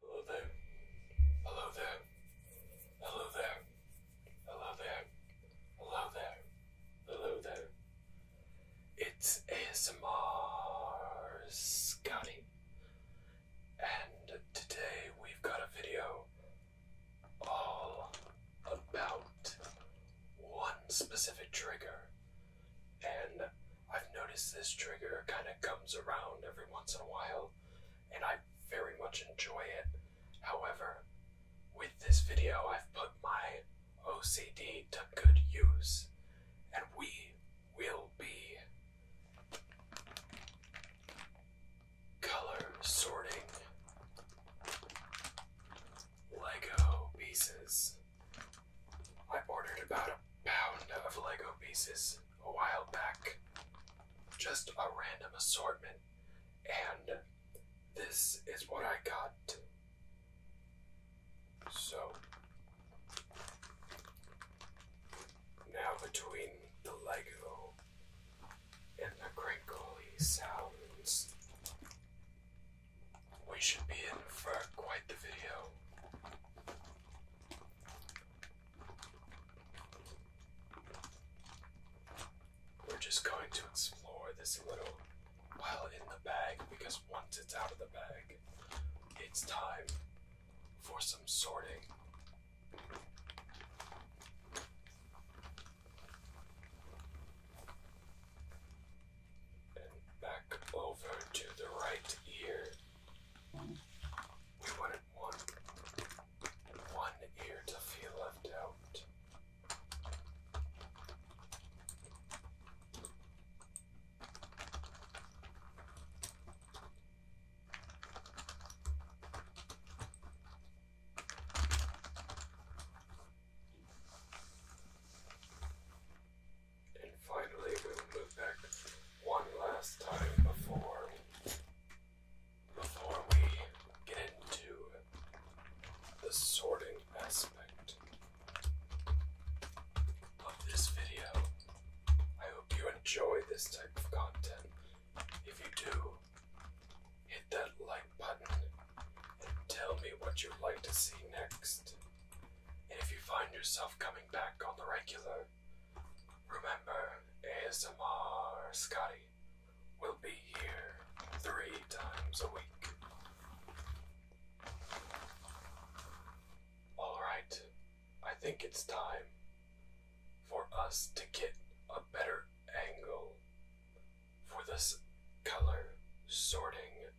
Hello there. Hello there. Hello there. Hello there. Hello there. Hello there. It's ASMR Scotty. And today we've got a video all about one specific trigger. And I've noticed this trigger kind of comes around every once in a while, and I very much enjoy it. However, with this video, I've put my OCD to good use, and we will be color sorting Lego pieces. I ordered about a pound of Lego pieces a while back. Just a random assortment. And this is what I got. So now between the Lego and the crinkly sounds, we should be in for quite the video. We're just going to explore this little while in the bag because once it's out of the bag, it's time for some sorting. And back over to the right ear. We wouldn't want one ear to feel left out finally, we'll move back one last time before before we get into the sorting aspect of this video. I hope you enjoy this type of content. If you do, hit that like button and tell me what you'd like to see next. And if you find yourself coming back on the regular, Remember, ASMR Scotty will be here three times a week. Alright, I think it's time for us to get a better angle for this color sorting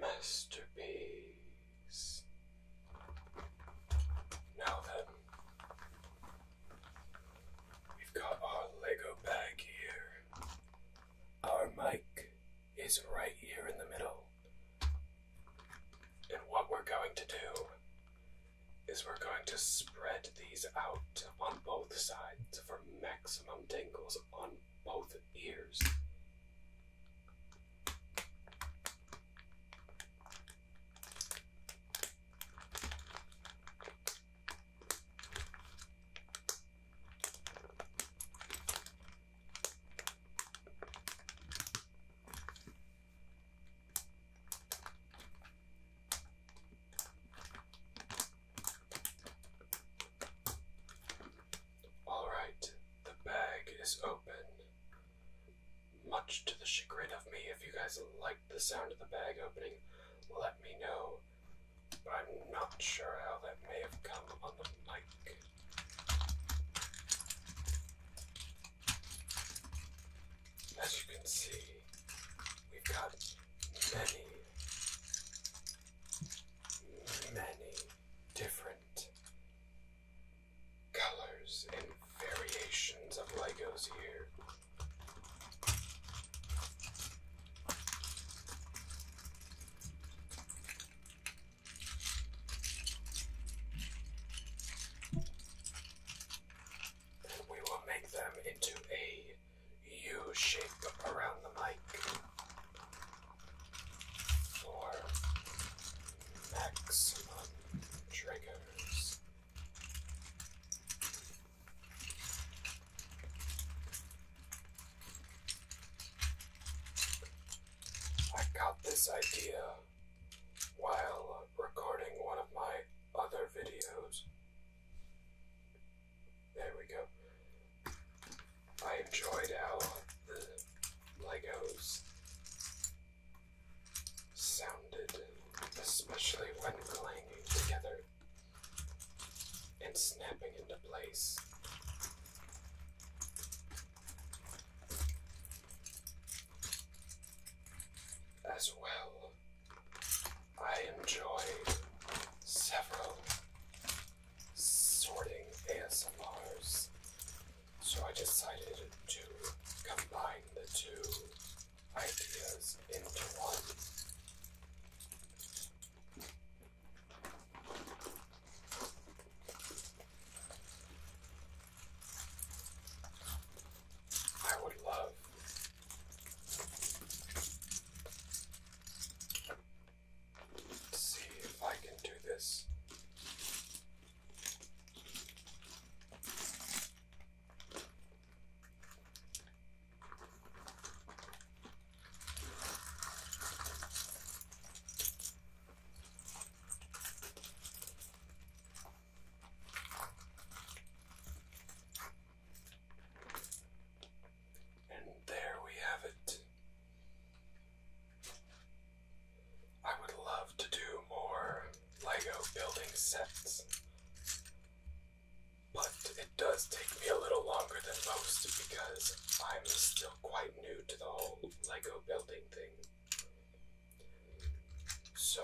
masterpiece. Now then, we've got our Lego bag here. Our mic is right here in the middle. And what we're going to do is we're going to spread these out on both sides for maximum tingles on both ears. All right, the bag is open. Much to the chagrin of me, if you guys liked the sound of the bag opening, let me know. But I'm not sure how that may have come on the mic. As you can see, we've got many, many different colors and variations of Legos here. And we will make them into a U shape around the mic. Or maximum triggers. I got this idea while recording one of my other videos. There we go. I enjoyed how the Legos sounded, especially when clanging together and snapping into place. As well, I enjoyed several sorting ASMRs so I decided to combine the two ideas into one. I would love to see if I can do this and there we have it. I would love to do more Lego building sets, but it does take me a little longer than most because I'm still quite new to the whole Lego building thing. So,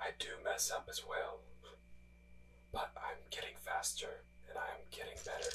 I do mess up as well, but I'm getting faster and I'm getting better.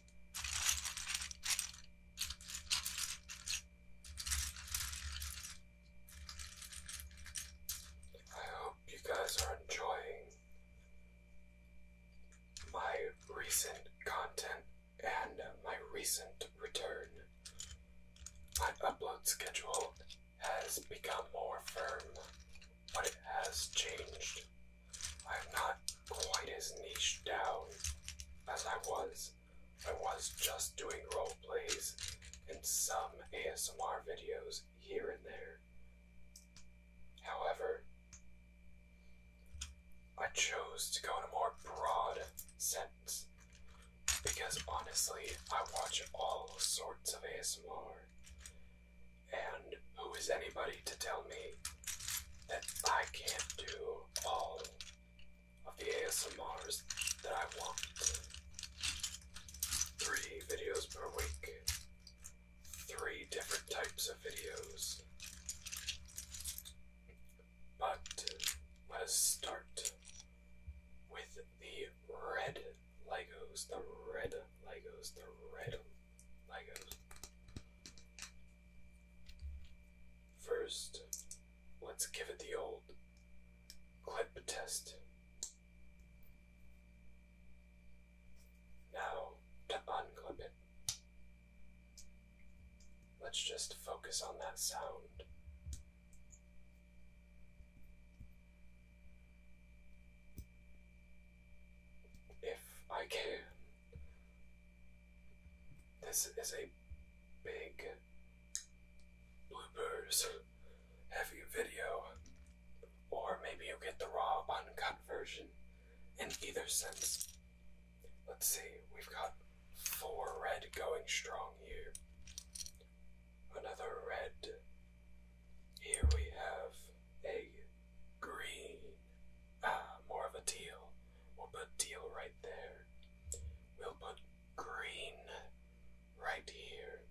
I hope you guys are enjoying my recent content and my recent return. My upload schedule has become more firm, but it has changed. I'm not quite as niche down as I was I was just doing role plays and some ASMR videos here and there. However, I chose to go in a more broad sense because honestly, I watch all sorts of ASMR. And who is anybody to tell me that I can't do all of the ASMRs that I want. Three videos per week. Three different types of videos. But let's start with the red Legos, the red Legos, the red Legos. First, let's give it the old clip test. Now, to unclip it, let's just focus on that sound. If I can, this is a big bloopers heavy video, or maybe you get the raw, uncut version. In either sense, let's see, we've got four red going strong here. Another red. Here we have a green uh, more of a deal. We'll put deal right there. We'll put green right here.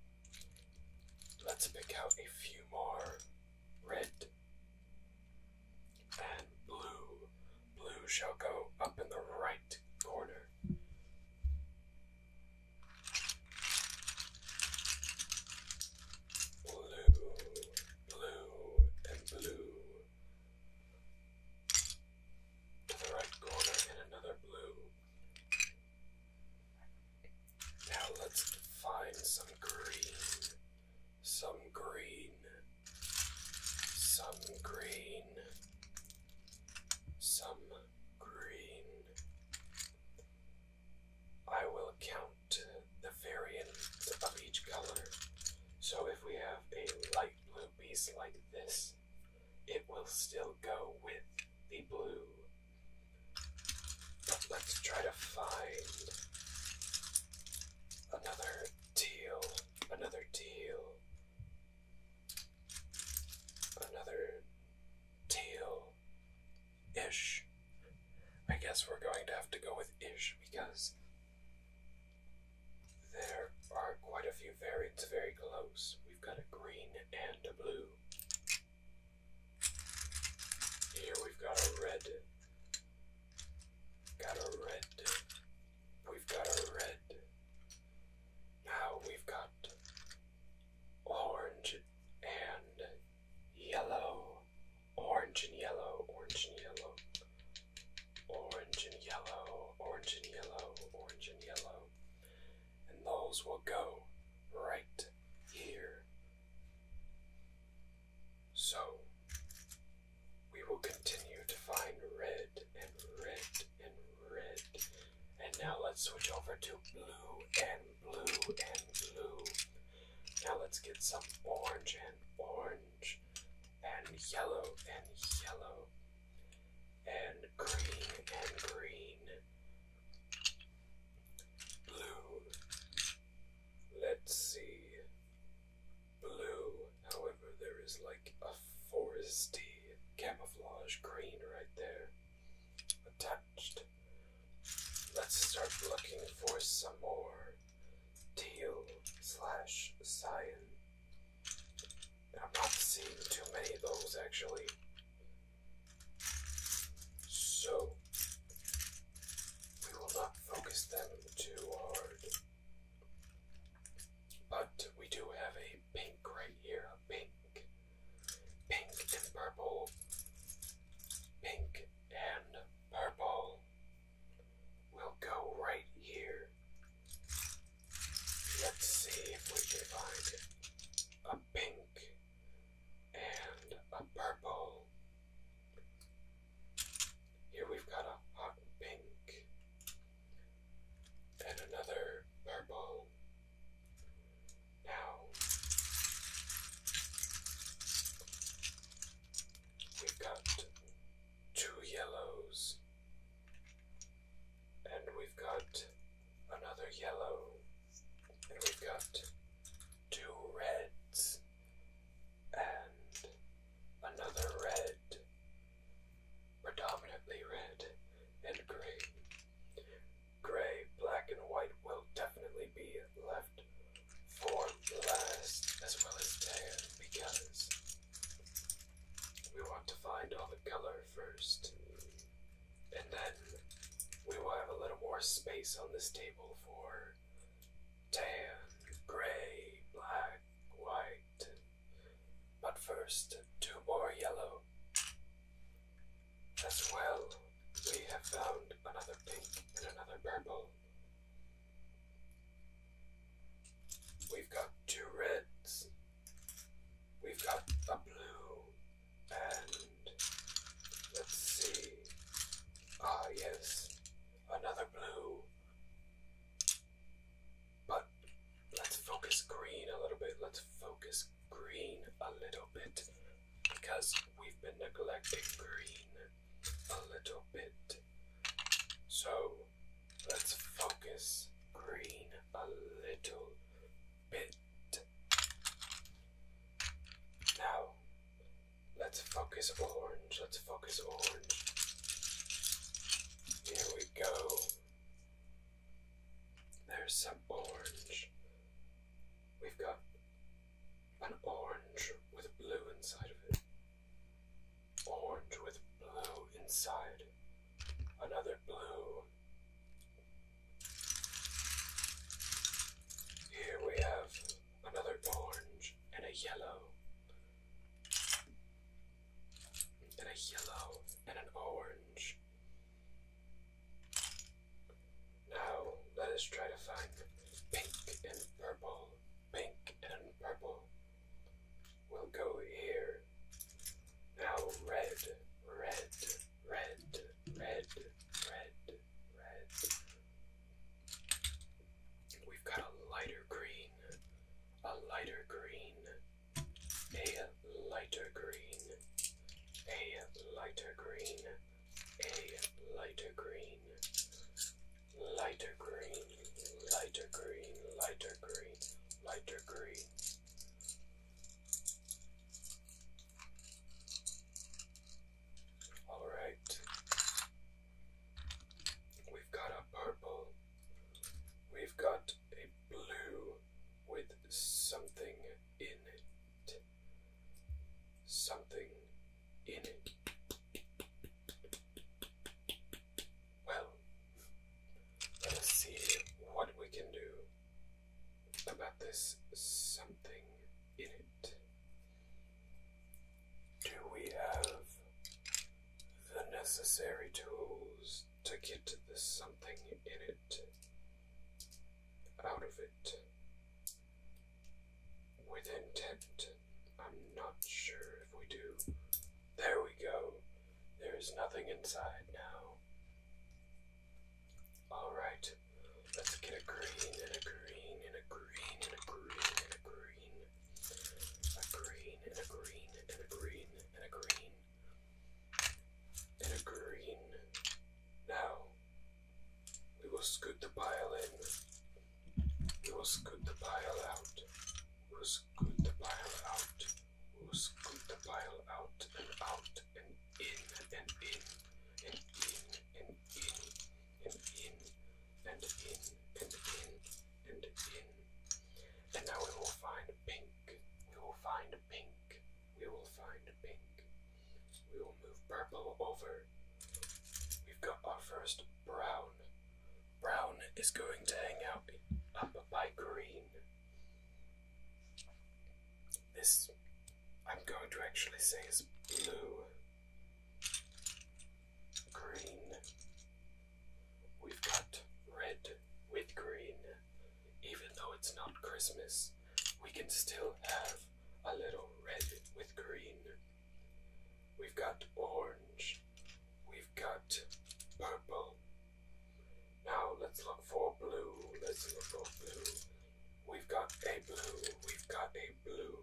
Let's pick out a few more red and blue. Blue shall go up in the right corner. Blue, blue, and blue to the right corner and another blue. Now let's find some green, some green, some green, some green. I will count the variants of each color so if we have a light blue piece like this, it will still go with the blue. But let's try to find another teal, another teal, another teal-ish. I guess we're going to have to go with ish because there are quite a few variants very close. We've got a green and a blue. Here we've got a red. Got a red. We've got a red. Now we've got orange and yellow. Orange and yellow, orange and yellow. Orange and yellow, orange and yellow, orange and yellow. And those will go right here. So we will continue to find red and red and red. And now let's switch over to blue and blue and blue. Now let's get some orange and orange and yellow and yellow and green and green. Blue. Let's see. Blue. However, there is like a foresty camouflage green right there attached. Let's start looking for some more teal slash cyan. I'm not seeing too many of those actually. So we will not focus them too hard. But we do have a pink right here, a pink. Pink and purple. Pink and purple. We'll go right here. Let's see if we can find a pink and a purple. Here we've got a hot pink and another purple. Now we've got two yellows, and we've got another yellow, and we've got two reds, and another red, predominantly red, and gray. Gray, black, and white will definitely be left for last as well as tan because we want to find all the color first. And then we will have a little more space on this table for tan, gray, black, white. But first, two more yellow. As well, we have found another pink and another purple. We've got two reds. We've got a blue. And let's see. Ah, yes. Another blue. But let's focus green a little bit. Let's focus green a little bit because we've been neglecting green a little bit. So let's focus green a little bit. Now let's focus orange, let's focus orange. Here we go. There's some orange. We've got an orange with blue inside of it. Orange with blue inside. Another blue. Here we have another orange and a yellow. And a yellow and an orange. Now let us try to find pink and purple pink, and purple. We'll go here. Now red, red, red, red, red, red. We've got a lighter green, a lighter green, a lighter green, a lighter green, a lighter green, lighter green, lighter green, lighter green, lighter green. All right, we've got a purple, we've got a blue with something in it, something in. Well, let us see what we can do about this something in it. Do we have the necessary tools to get the something in it out of it? with intent. I'm not sure if we do. There we go. There is nothing inside now. Alright, let's get a green and a green and a green and a green and a green. A green and a green and a green and a green. And a green. Now, we will scoot the pile in. It was good to pile out. It was good to pile out. It was good to pile out and out and in and in and in and in and in and in and in and in. And now we will find pink. We will find pink. We will find pink. We will move purple over. We've got our first brown. Brown is going to hang out up by green. This I'm going to actually say is blue. Green. We've got red with green. Even though it's not Christmas, we can still have a little red with green. We've got orange. We've got purple. Now let's look for blue. Let's look for blue. We've got a blue. We've got a blue.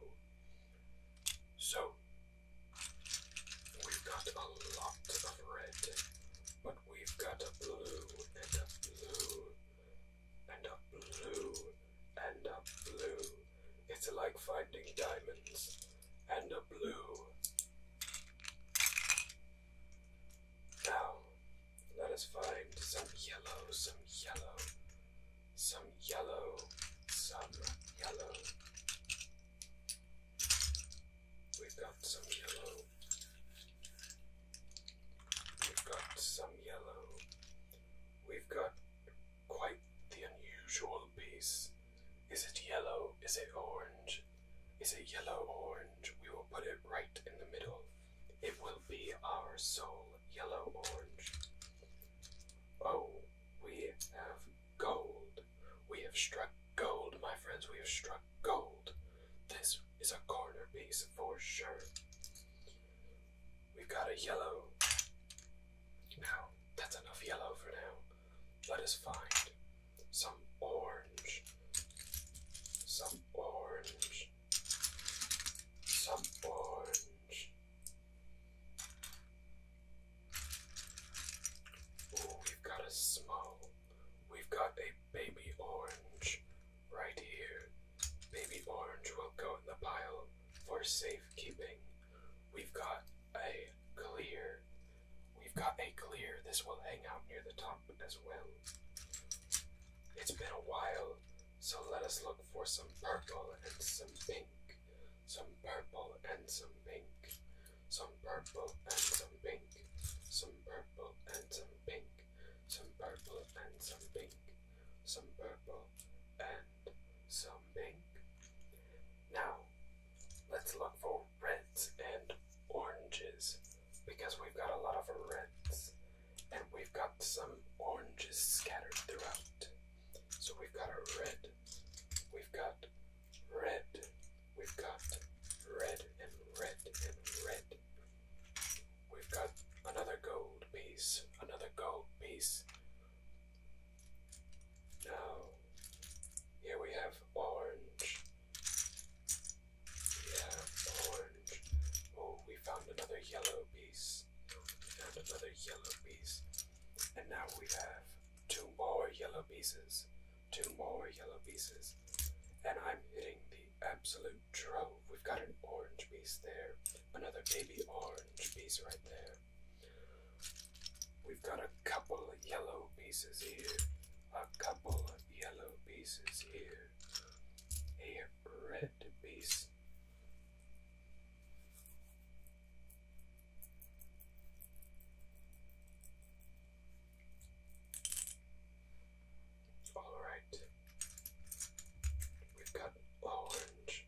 So we've got a lot of red, but we've got a blue and a blue and a blue and a blue. It's like finding diamonds and a blue. Now, let us find some yellow, some yellow, some yellow, some yellow. We've got some yellow. We've got some yellow. We've got quite the unusual piece. Is it yellow? Is it orange? Is it yellow orange? We will put it right in the middle. It will be our sole yellow orange. Oh, we have gold. We have struck gold, my friends. We have struck gold. This is a corner piece for sure. We've got a yellow. Now, that's enough yellow for now. Let us find some orange. Some orange. Some orange. Ooh, we've got a small. We've got a baby orange right here. Baby orange will go in the pile for safekeeping. We've got a clear. We've got a clear. This will hang out near the top as well. It's been a while, so let us look for some purple and some pink. Some purple and some pink. Some purple and some pink. Some purple and some pink. Some purple and some pink. Some purple and some something. Now, let's look for reds and oranges because we've got a lot of reds and we've got some oranges scattered throughout. So we've got a red, we've got red, we've got red and red and red. We've got another gold piece, another gold piece. Now, oh, here we have orange. We have orange. Oh, we found another yellow piece. We found another yellow piece. And now we have two more yellow pieces. Two more yellow pieces. And I'm hitting the absolute drove. We've got an orange piece there. Another baby orange piece right there. We've got a couple of yellow pieces here, a couple of yellow pieces here, a red piece. All right, we've got orange,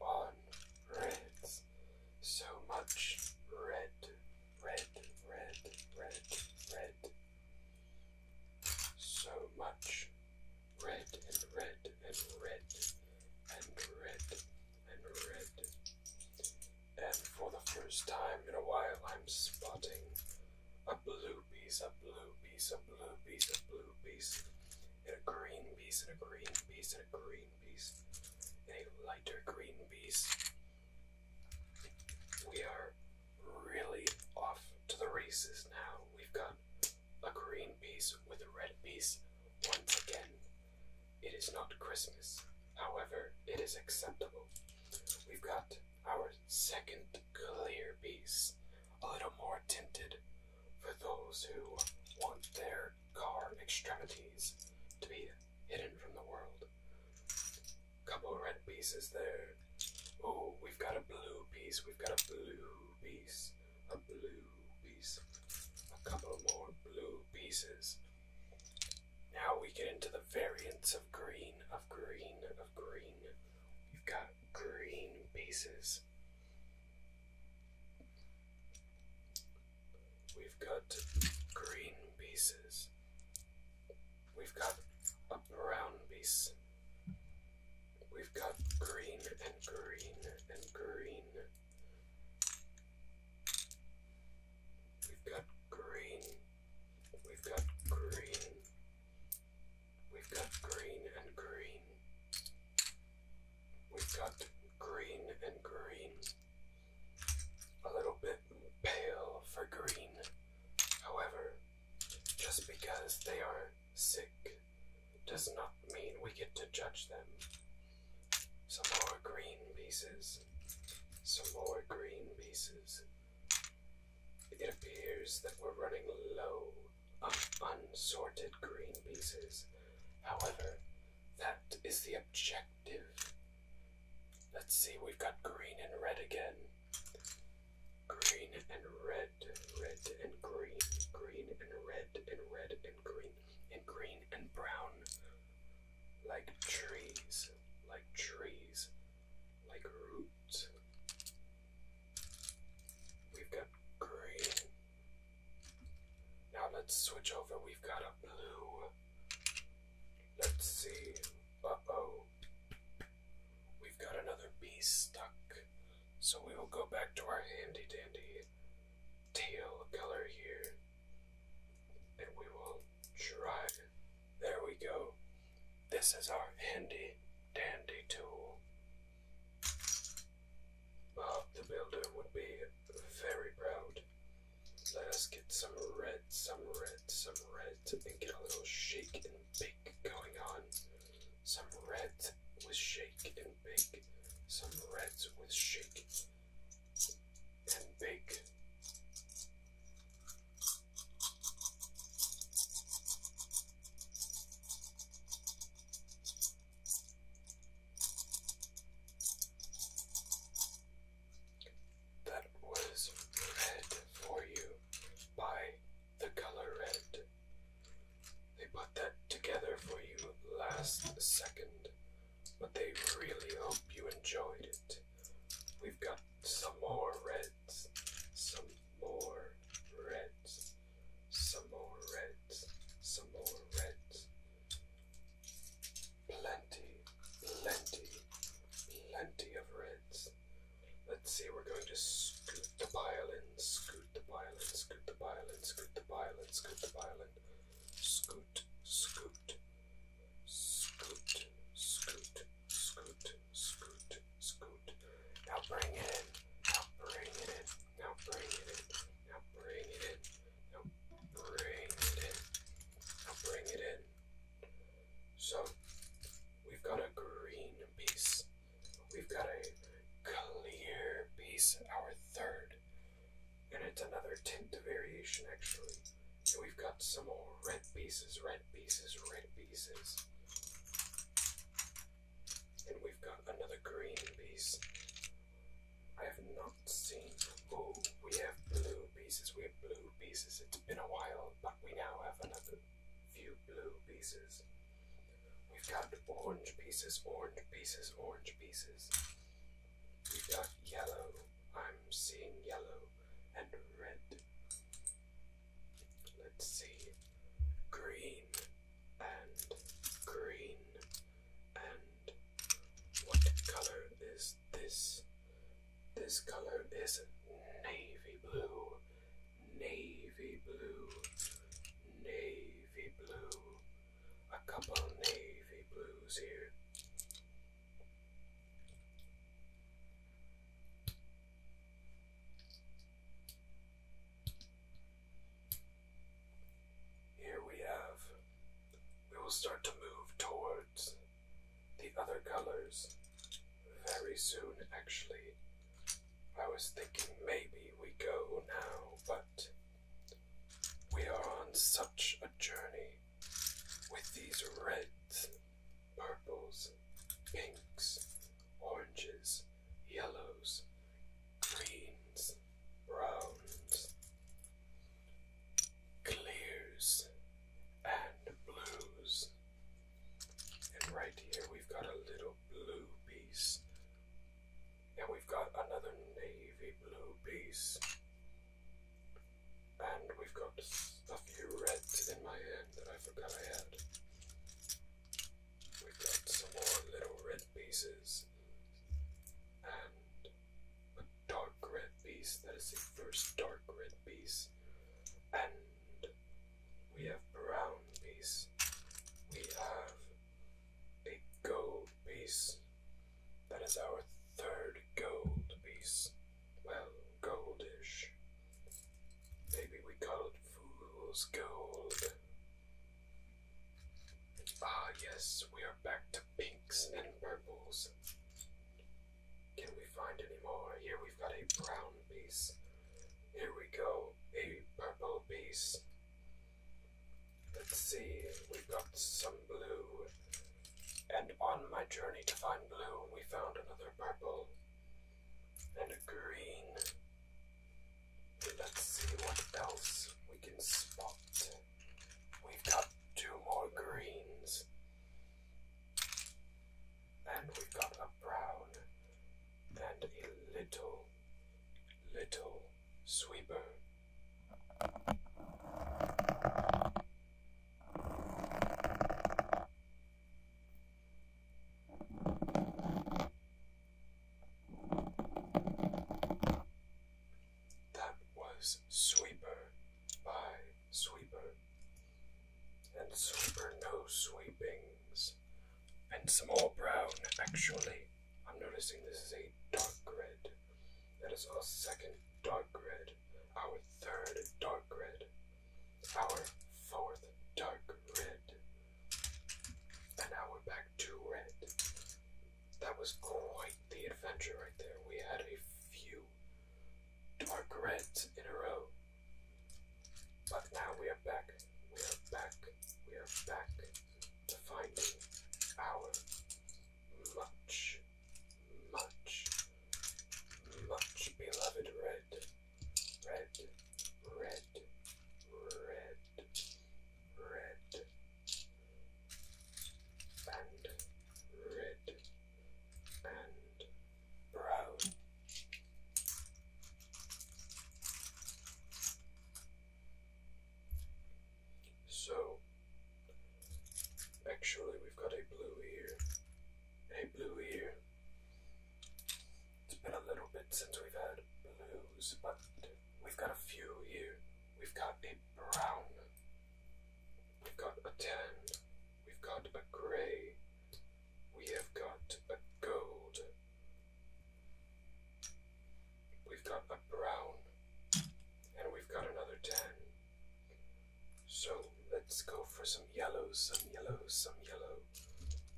on reds. So much red, red, red, red, red. So much red and red and red and red and red. And for the first time in a while, I'm spotting a blue piece, a blue piece, a blue piece, a blue piece, and a green piece, and a green piece, and a green a lighter green piece. We are really off to the races now. We've got a green piece with a red piece once again. It is not Christmas, however, it is acceptable. We've got our second clear piece, a little more tinted for those who want their car extremities to be hidden from the world. Couple red pieces there. Oh, we've got a blue piece. We've got a blue piece. A blue piece. A couple more blue pieces. Now we get into the variants of green, of green, of green. We've got green pieces. We've got green pieces. We've got a brown piece. We've got green and green and green. We've got green. We've got green. We've got green and green. We've got green and green. A little bit pale for green. However, just because they are sick does not mean we get to judge them. Some more green pieces. Some more green pieces. It appears that we're running low of unsorted green pieces. However, that is the objective. Let's see, we've got green and red again. Green and red, red and green, green and red, and red and green, and green and brown. Like trees, like trees, like roots. We've got green now let's switch over. We've got a blue. Let's see. Uh oh. We've got another bee stuck. So we will go back to our handy dandy tail color here. And we will try. There we go. This is our handy dandy tool. Bob the Builder would be very proud. Let us get some red, some red, some red, and get a little shake and bake going on. Some red with shake and bake. Some red with shake and bake. That was red for you by the color red. They put that together for you last second, but they really hope you enjoyed it. We've got some more reds, some more reds. Some more Reds, some more Reds. Plenty, plenty, plenty of reds. Let's see, we're going to scoot the pile scoot the pile scoot the pile scoot the pile scoot the pile Scoot, scoot, scoot, scoot, scoot, scoot, scoot. Now bring it in, now bring it in. Now bring it in. Now bring it in. Now bring it in. Now bring it in. So we've got a green piece. We've got a clear piece, our third. And it's another tint variation actually. And we've got some more red pieces, red pieces, red pieces. And we've got another green piece. I have not seen. Oh, we have blue pieces. We have blue pieces. It's been a while, but we now have another few blue pieces. We've got orange pieces, orange pieces, orange pieces. We've got yellow. I'm seeing yellow and red. Let's see. Green and green and what color is this? This color is navy blue, navy blue, navy blue. A couple navy blues here. Here we have. We will start to move towards the other colors very soon, actually. I was thinking maybe we go now, but we are on such a journey with these reds, purples, pinks, oranges yellows, greens, browns, clears, and blues. And right here we've got a little blue piece. And we've got another navy blue piece. And we've got a few reds in my hand that I forgot I had we got some more little red pieces and a dark red piece. That is the first dark red piece. And we have brown piece. We have a gold piece. That is our third gold piece. Well, goldish. Maybe we call it fool's gold. Ah, yes, we are back to pinks and purples. Can we find any more? Here we've got a brown piece. Here we go, a purple piece. Let's see, we've got some blue. And on my journey to find blue, we found another purple and a green. Let's see what else we can spot. We've got two more greens. And we've got a brown and a little, little sweeper. That was Sweeper by Sweeper. And Sweeper no sweepings. And some more brown, actually. I'm noticing this is a dark red. That is our second dark red. Our third dark red. Our fourth dark red. And now we're back to red. That was quite the adventure right there. We had a few dark reds in a row. But now we are back. We are back. We are back to find our much, much, much beloved red. Red, red, red, red and red and brown. So actually we've got a blue here. A blue here. It's been a little bit since we've had blues, but We've got a few here. We've got a brown. We've got a tan. We've got a gray. We have got a gold. We've got a brown. And we've got another tan. So let's go for some yellows, some yellows, some yellow.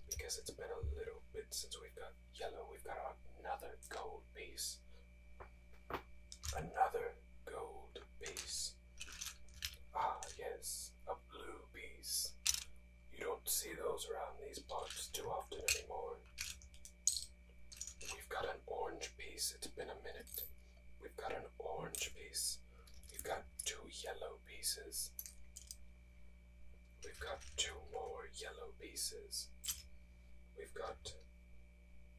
Because it's been a little bit since we've got yellow, we've got another gold piece. Another gold piece. Ah, yes, a blue piece. You don't see those around these parts too often anymore. We've got an orange piece. It's been a minute. We've got an orange piece. We've got two yellow pieces. We've got two more yellow pieces. We've got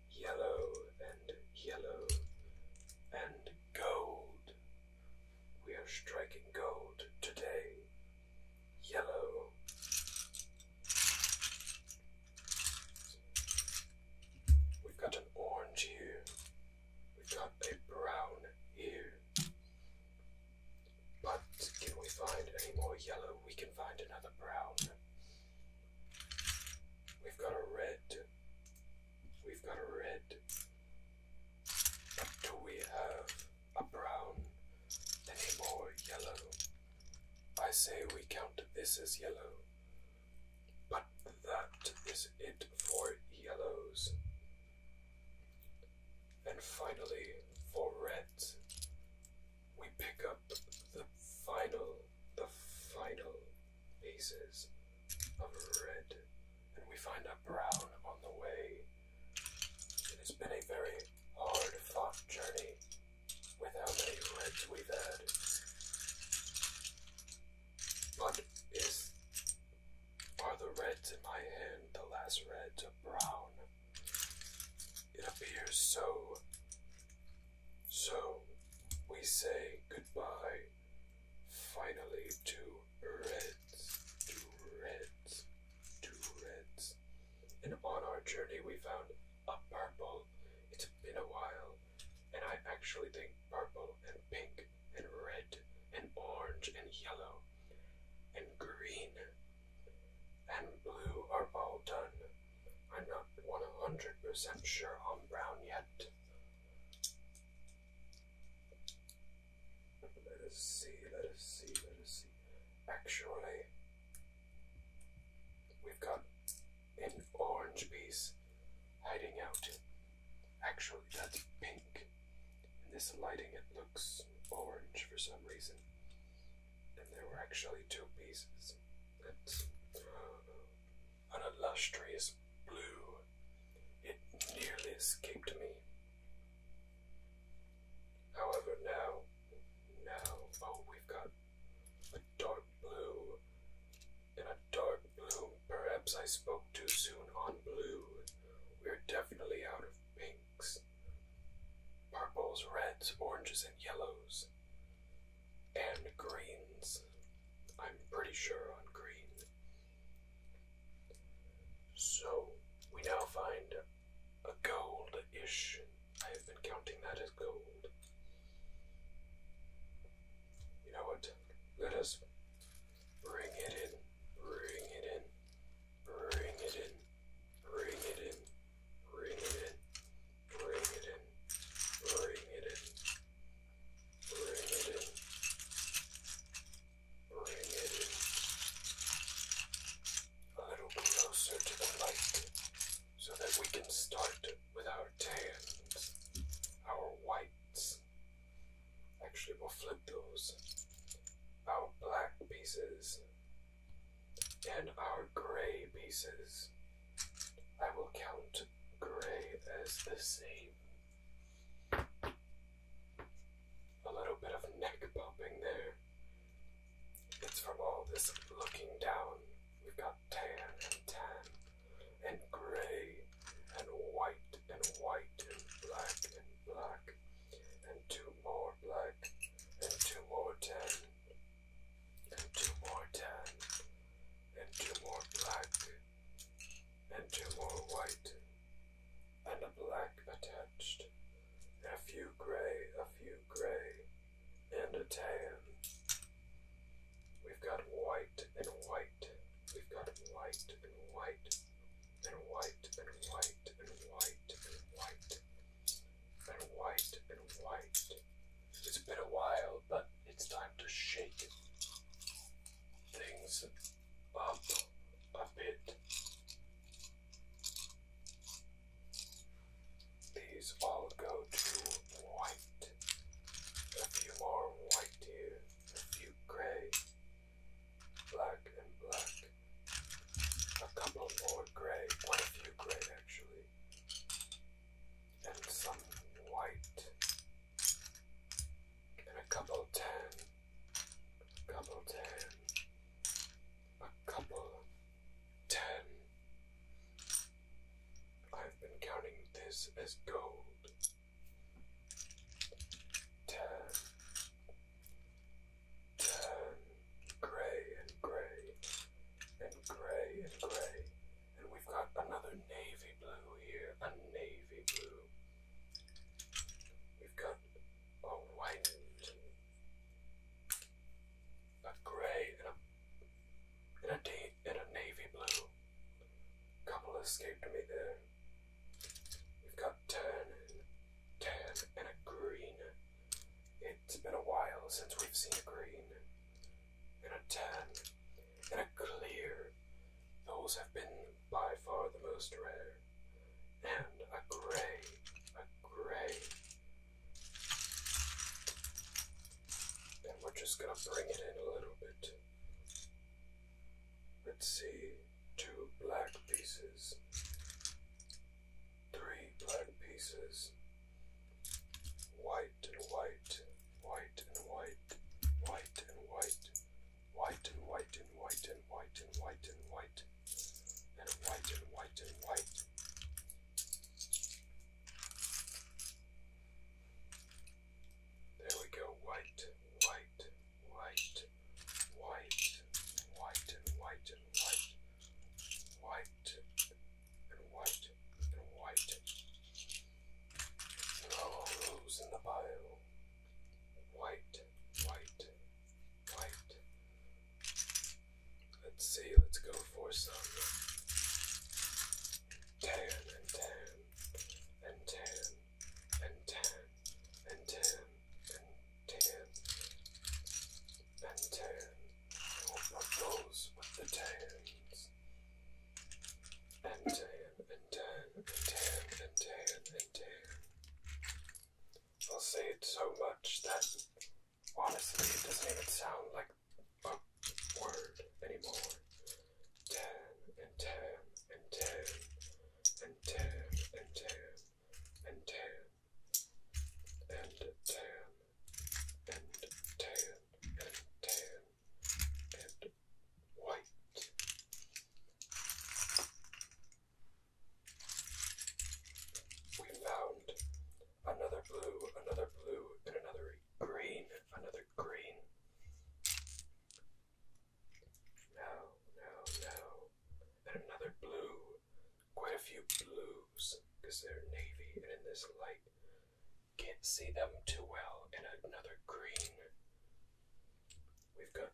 yellow and yellow and gold. We are striking gold today. Yellow. We've got an orange here. We've got a brown here. But can we find any more yellow? We can find another brown. We've got a red. We've got a red. But do we have a brown? Any more yellow? I say we count this as yellow. But that is it for yellows. And finally, for red, we pick up the final, the final pieces of red, and we find a brown on the way. It has been a very hard fought journey without any reds we've had. But is are the reds in my hand the last reds of brown? It appears so. So, we say goodbye finally to Reds, to Reds, to Reds. And on our journey, we found a purple. It's been a while, and I actually think purple and pink and red and orange and yellow and green and blue are all done. I'm not 100% sure on brown yet. Let us see, let us see, let us see. Actually, we've got an orange piece hiding out. Actually, that's pink. In this lighting, it looks orange for some reason. And there were actually two pieces. An illustrious blue. It nearly escaped me. However, now, now, oh, we've got a dark blue and a dark blue. Perhaps I spoke too soon on blue. We're definitely out of pink pinks, purples, reds, oranges, and yellows, and greens. I'm pretty sure on green. So we now find a goldish. I have been counting that as gold. You know what? Let us bring it in. Bring it in. Bring it in. Bring it in. Bring it in. Bring it in. Bring it in. Bring it in. Bring it in. A little closer to the light so that we can start with our tans, our whites. Actually, we'll flip those. Our black pieces and our gray pieces. I will count gray as the same. A little bit of neck popping there. It's from all this looking down. We've got tan and tan, and gray, and white and white, and black and black and two more black, and two more tan, and two more tan, and two more black, and two more white, and a black attached, a few gray, a few gray, and a tan. We've got white and white, we've got white and white and white and white and white and white and white and white. It's been a while, but it's time to shake things up a bit. These all go to white. A few more white here, a few gray, black and black, a couple more gray, quite a few gray actually, and some white, and a couple tan, a couple tan, a couple tan. I've been counting this as gold. Ten, grey and grey and grey and grey. And we've got another navy blue here, a navy blue. We've got a white, and a grey, and a and a, and a navy blue. Couple escaped me there. We've got turn, tan, and a green. It's been a while since we've seen a green, and a tan, and a clear. Those have been by far the most rare. And a gray, a gray. And we're just gonna bring it in a little bit. Let's see two black pieces, three black pieces, white and white, white and white, white and white, white and white and white and white and white and white, and white and white and white. There we go, white, white, white, white, and white, and white, and white, white, and white, and white. And all those in the bio. White, white, white. Let's see, let's go for some tan and tan and tan and tan and tan and tan, and tan. I will propose with the tans. And tan, and tan, and tan, and tan, and tan. I'll say it so much that honestly it doesn't even sound like a word anymore. Tan, and tan, and tan, and tan, and tan and tan and tan and tan and tan and white. We found another blue, another blue, and another green, another green. No, no, no. And another blue. Quite a few blues, because they're navy, and in this light, can't see them too well. And another green. We've got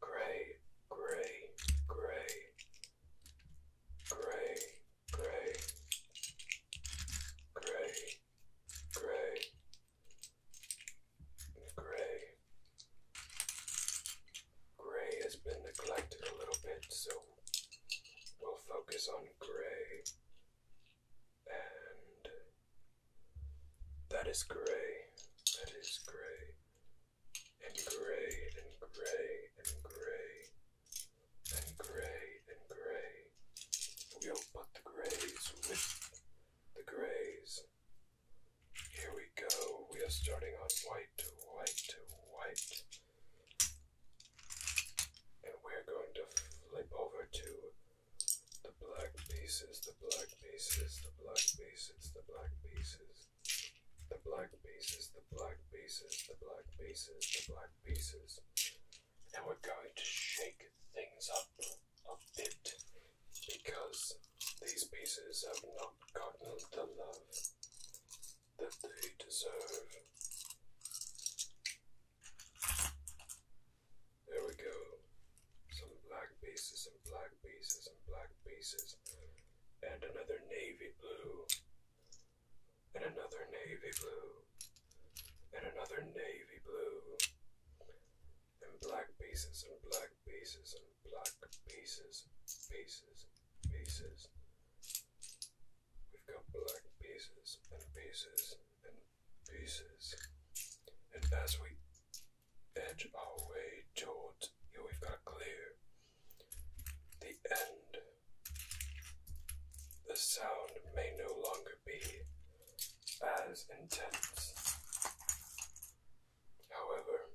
gray, gray, gray, gray, gray, gray, gray, Gray. Gray has been neglected a little bit, so we'll focus on gray. And that is gray. That is gray. And gray and gray and gray and gray and gray. We'll put the grays with the grays here we go. We are starting on white, white, white. And we're going to flip over to the black pieces, the black pieces, the black pieces, the black pieces. The black pieces, the black pieces, the black pieces, the black pieces. And we're going to shake things up a bit because these pieces have not gotten the love that they deserve. There we go. Some black pieces and black pieces and black pieces. And another navy blue. And another navy blue. And another navy blue. And black pieces and black pieces black pieces, pieces, pieces. We've got black pieces and pieces and pieces. And as we edge our way towards here, we've got clear the end. The sound may no longer be as intense. However,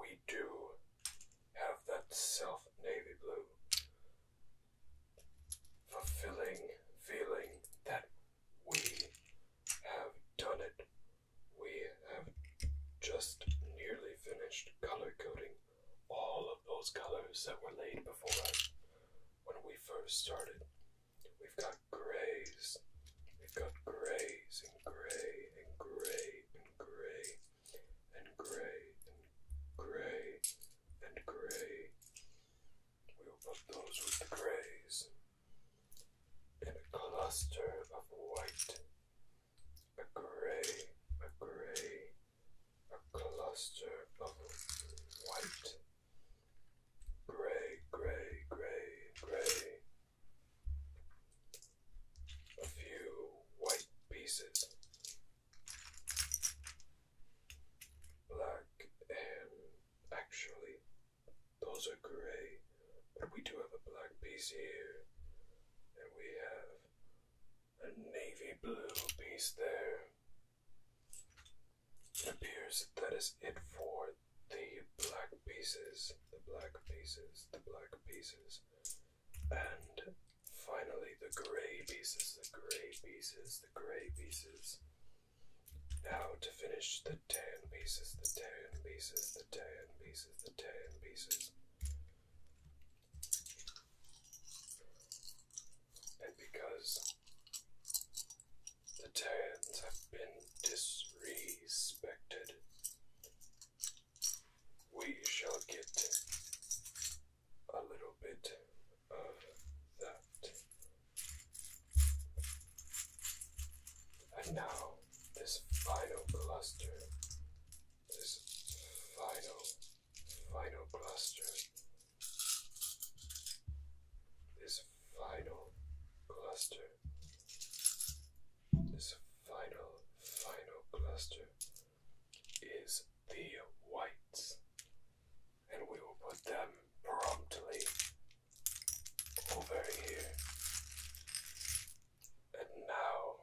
we do have that self navy blue fulfilling feeling that we have done it. We have just nearly finished color coding all of those colors that were laid before us when we first started. We've got grays. We've got grays and grey and grey and grey and grey and grey and grey. We'll put those with the grays. And a cluster of white. A grey, a grey, a cluster of white. Gray, gray, gray, gray. A few white pieces. Black and actually, those are gray, but we do have a black piece here, and we have a navy blue piece there. It appears that is it for the black pieces, the black pieces, the black pieces, and finally the grey pieces, the grey pieces, the grey pieces. Now to finish the tan pieces, the tan pieces, the tan pieces, the tan pieces. And because the Titans have been disrespected. We shall get a little bit of that. And now, this final cluster. This final, final cluster. This this final cluster. This final, final cluster is the whites, and we will put them promptly over here. And now,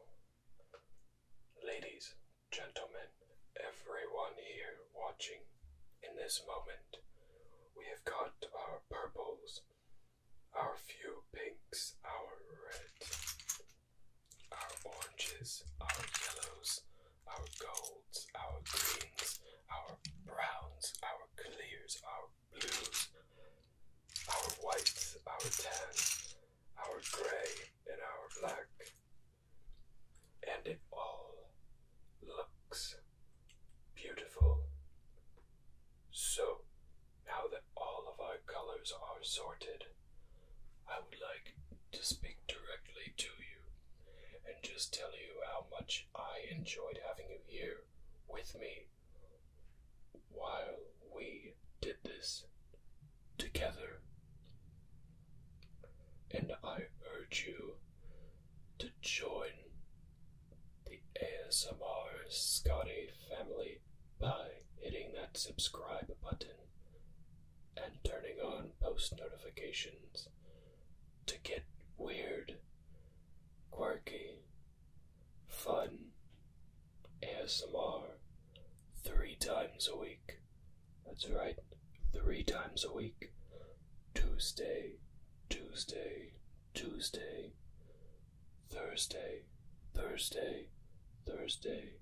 ladies, gentlemen, everyone here watching in this moment, we have got our purples, our few pinks, our reds, our oranges, our yellows, our golds, our greens, our browns, our clears, our blues, our whites, our tans, our grey, and our black. And it all looks beautiful. So, now that all of our colors are sorted, I would like to speak directly to you and just tell you how much I enjoyed having you here with me while we did this together. And I urge you to join the ASMR Scotty family by hitting that subscribe button and turning on post notifications to get weird, quirky, fun ASMR three times a week. That's right, three times a week. Tuesday, Tuesday, Tuesday, Thursday, Thursday, Thursday,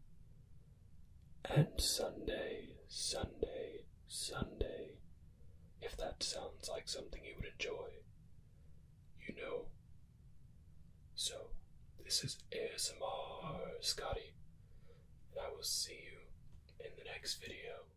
and Sunday, Sunday, Sunday. If that sounds like something you would enjoy, you know. So, this is ASMR Scotty, and I will see you in the next video.